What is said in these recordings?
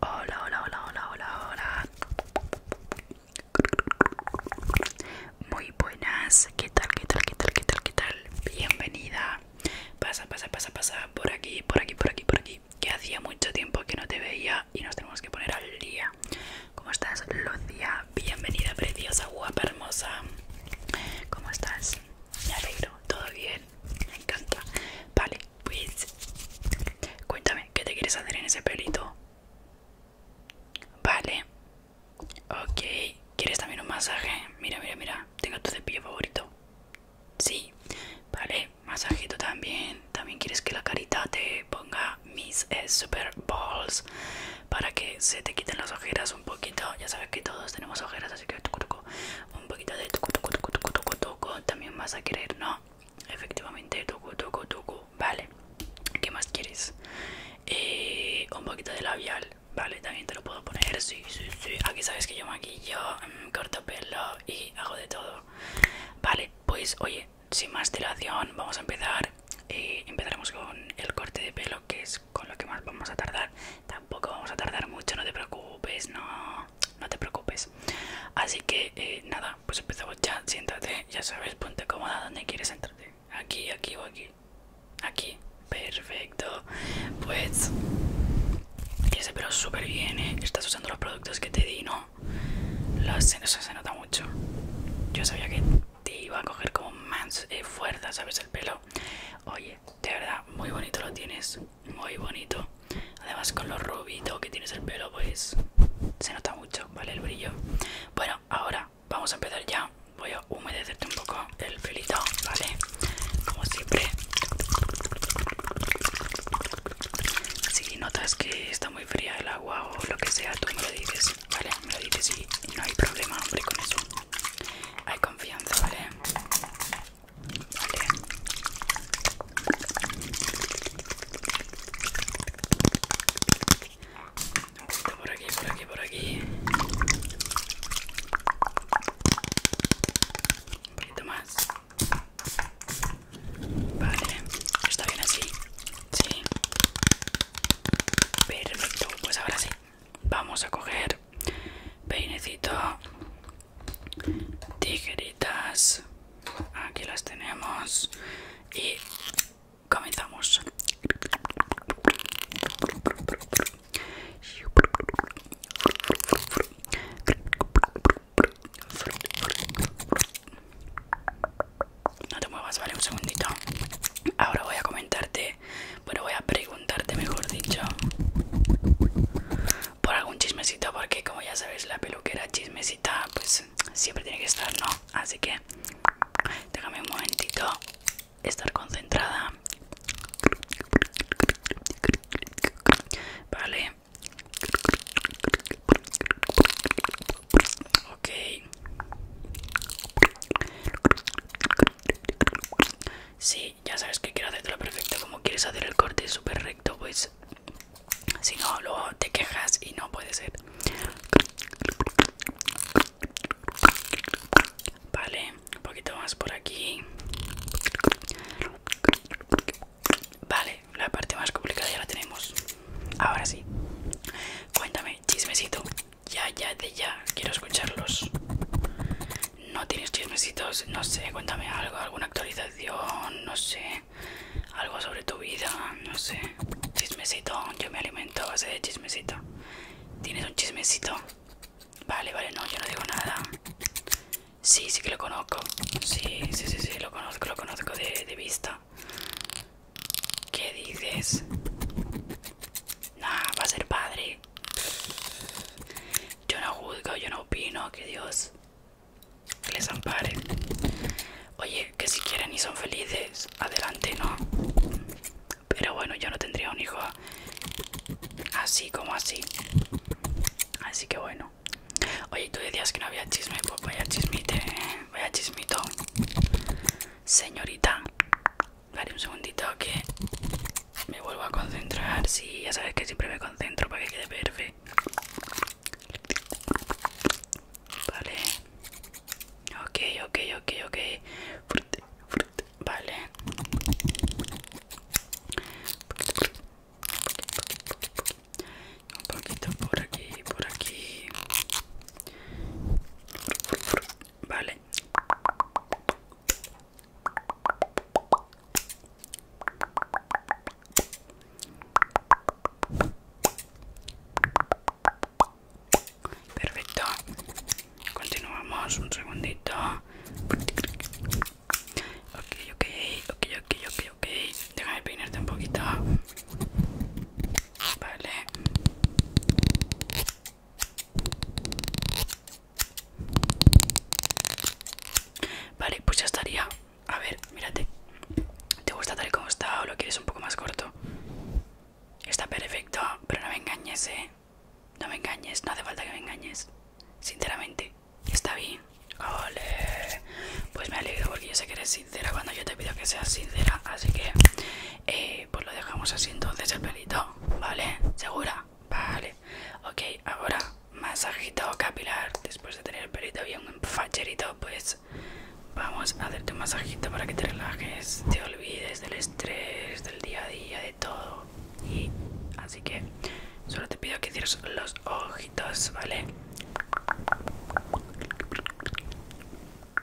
Hola, hola, hola, hola, hola, hola. Muy buenas. ¿Qué tal? ¿Qué tal? ¿Qué tal? ¿Qué tal? ¿Qué tal? Bienvenida. Pasa, pasa, pasa, pasa. Por aquí, por aquí, por aquí, por aquí. Que hacía mucho tiempo que no te veía y nos tenemos que poner al día. ¿Cómo estás, Lucía? Bienvenida, preciosa, guapa, hermosa. ¿Cómo estás? Me alegro, todo bien, me encanta. Vale, pues cuéntame qué te quieres hacer en ese pelito vale ok quieres también un masaje mira mira mira tengo tu cepillo favorito sí vale masajito también también quieres que la carita te ponga mis eh, super balls para que se te quiten las ojeras un poquito ya sabes que todos tenemos ojeras así que un poquito de también vas a querer, ¿no? Efectivamente, tucu, tucu, toco, vale. ¿Qué más quieres? Eh, un poquito de labial, vale, también te lo puedo poner, sí, sí, sí. Aquí sabes que yo maquillo, mm, corto pelo y hago de todo. Vale, pues oye, sin más dilación, vamos a empezar. Eh, empezaremos con el corte de pelo, que es con lo que más vamos a tardar. Tampoco vamos a tardar mucho, no te preocupes, no, no te preocupes. Así que eh, nada, pues empezamos ya, siéntate, ya sabes, ponte cómoda donde quieres sentarte. Aquí, aquí o aquí. Aquí, perfecto. Pues ese pelo pero súper bien, ¿eh? Estás usando los productos que te di, ¿no? eso se nota mucho. Yo sabía que te iba a coger como más eh, fuerza, ¿sabes? El pelo. Oye, de verdad, muy bonito lo tienes muy bonito además con lo rubito que tienes el pelo pues se nota mucho vale el brillo bueno ahora vamos a empezar ya voy a humedecerte un poco el pelito vale como siempre si notas que está muy fría el agua o lo que sea tú me lo dices vale me lo dices y no hay problema hombre con eso hay confianza vale Vale. Por aquí, por aquí, por aquí. Un poquito más. Vale. Está bien así. Sí. Perfecto. Pues ahora sí. Vamos a coger peinecito tijeritas aquí las tenemos y comenzamos no te muevas, vale, un segundito. Ahora voy a comentarte bueno voy a preguntarte mejor dicho, por algún chismecito, porque como ya sabéis la peluquera chismecita pues siempre tiene que estar, ¿no? Así que déjame un momentito estar concentrada. Vale. Ok. Sí, ya sabes que quiero lo perfecto como quieres hacer el corte súper recto pues si no luego te quejas y no puede ser vale un poquito más por aquí vale la parte más complicada ya la tenemos ahora sí cuéntame chismecito ya ya de ya quiero escucharlos ¿No tienes chismecitos? No sé, cuéntame algo, alguna actualización, no sé, algo sobre tu vida, no sé. Chismecito, yo me alimento a base de chismecito. ¿Tienes un chismecito? Vale, vale, no, yo no digo nada. Sí, sí que lo conozco. Sí, sí, sí, sí, lo conozco, lo conozco de, de vista. ¿Qué dices? Nah, va a ser padre. Yo no juzgo, yo no opino, que Dios les ampare. Oye, que si quieren y son felices, adelante, ¿no? Pero bueno, yo no tendría un hijo así como así. Así que bueno. Oye, tú decías que no había chisme, pues vaya chismite, ¿eh? voy a chismito. Señorita, Vale, un segundito que me vuelvo a concentrar. Sí, ya sabes que siempre me concentro para que quede perfecto. Vale. Ok, ok, ok, ok. Vale. Un poquito por aquí, por aquí. Vale. Perfecto. Continuamos un segundito. Ok, ok, ok, ok, ok, ok. Déjame peinarte un poquito. Vale. Vale, pues ya estaría. A ver, mírate. ¿Te gusta tal como está o lo quieres un poco más corto? Está perfecto, pero no me engañes, ¿eh? No me engañes, no hace falta que me engañes. Sinceramente, está bien. Ole. Pues me alegro porque yo sé que eres sincera cuando yo te pido que seas sincera. Así que... Eh, pues lo dejamos así entonces el pelito, ¿vale? ¿Segura? Vale. Ok, ahora masajito capilar. Después de tener el pelito bien facherito, pues vamos a hacerte un masajito para que te relajes, te olvides del estrés, del día a día, de todo. Y así que solo te pido que cierres los ojitos, ¿vale?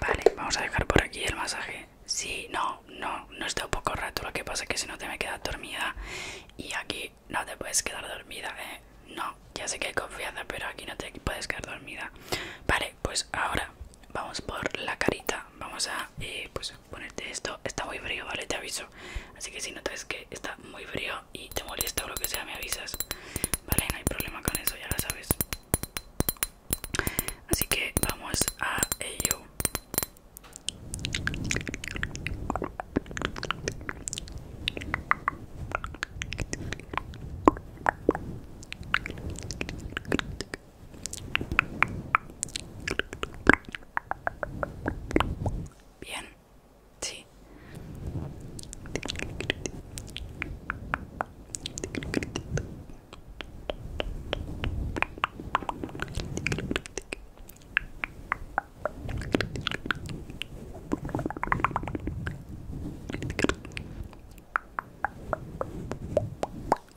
Vale, vamos a dejar por aquí el masaje. Sí, no, no, no está un poco rato. Lo que pasa es que si no te me quedas dormida y aquí no te puedes quedar dormida, ¿eh? No, ya sé que hay confianza, pero aquí no te puedes quedar dormida. Vale, pues ahora vamos por la carita. Vamos a, eh, pues, ponerte esto. Está muy frío, ¿vale? Te aviso. Así que si notas que está muy frío y te molesta o lo que sea, me avisas. Vale, no hay problema con eso, ya lo sabes. Así que vamos a ello. Bien, sí.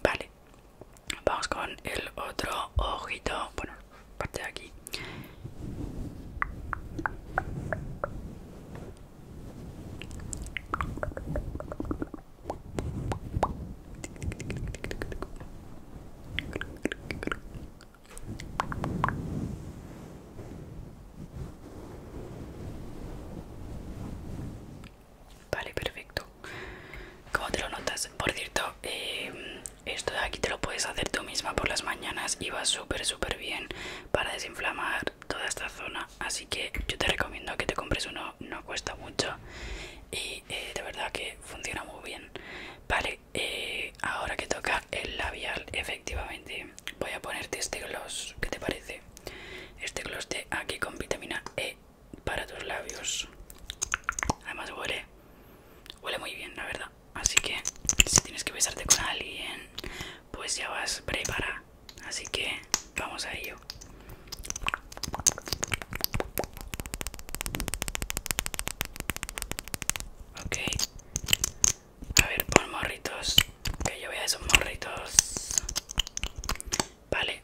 Vale, Vamos con el otro ojito, bueno, parte de aquí. Vale, perfecto. ¿Cómo te lo notas? Por cierto, eh, esto de aquí te lo puedes hacer tú misma por las mañanas y va súper súper bien para desinflamar toda esta zona. Así que yo te recomiendo que te compres uno, no cuesta mucho y eh, de verdad que funciona muy bien. Vale, eh, ahora que toca el labial, efectivamente voy a ponerte este gloss, ¿qué te parece? Este gloss de aquí con vitamina E para tus labios. Además huele Huele muy bien, la verdad. Así que si tienes que besarte con alguien, pues ya vas prepara. Así que vamos a ello. Ok. A ver, por morritos. Que yo a esos morritos. Vale.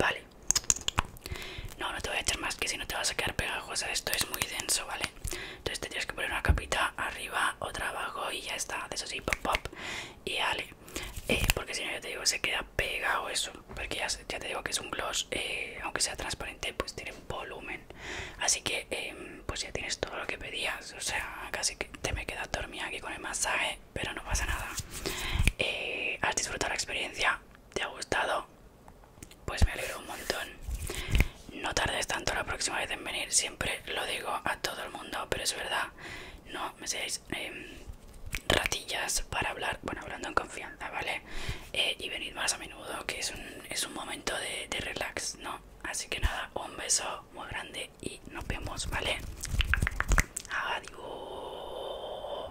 Vale. No, no te voy a echar más que si no te vas a quedar pegajosa. Esto es muy denso, ¿vale? Entonces tienes que poner una capita arriba, otra abajo y ya está. De eso sí, pop pop. Y vale eh, porque si no, ya te digo, se queda pegado eso. Porque ya, te digo que es un gloss, eh, aunque sea transparente, pues tiene volumen. Así que, em, pues ya tienes todo lo que pedías. O sea, casi que te me queda dormida aquí con el masaje, pero no pasa nada. Eh, has disfrutado la experiencia, te ha gustado. Pues me alegro un montón. No tardes tanto la próxima vez en venir, siempre lo digo a todo el mundo, pero es verdad, no me seáis em, ratillas para hablar, bueno, hablando en confianza, ¿vale? Eh, y venid más a menudo, que es un, momento de, de relax, ¿no? Así que nada, un beso muy grande y nos vemos, ¿vale? Adiós.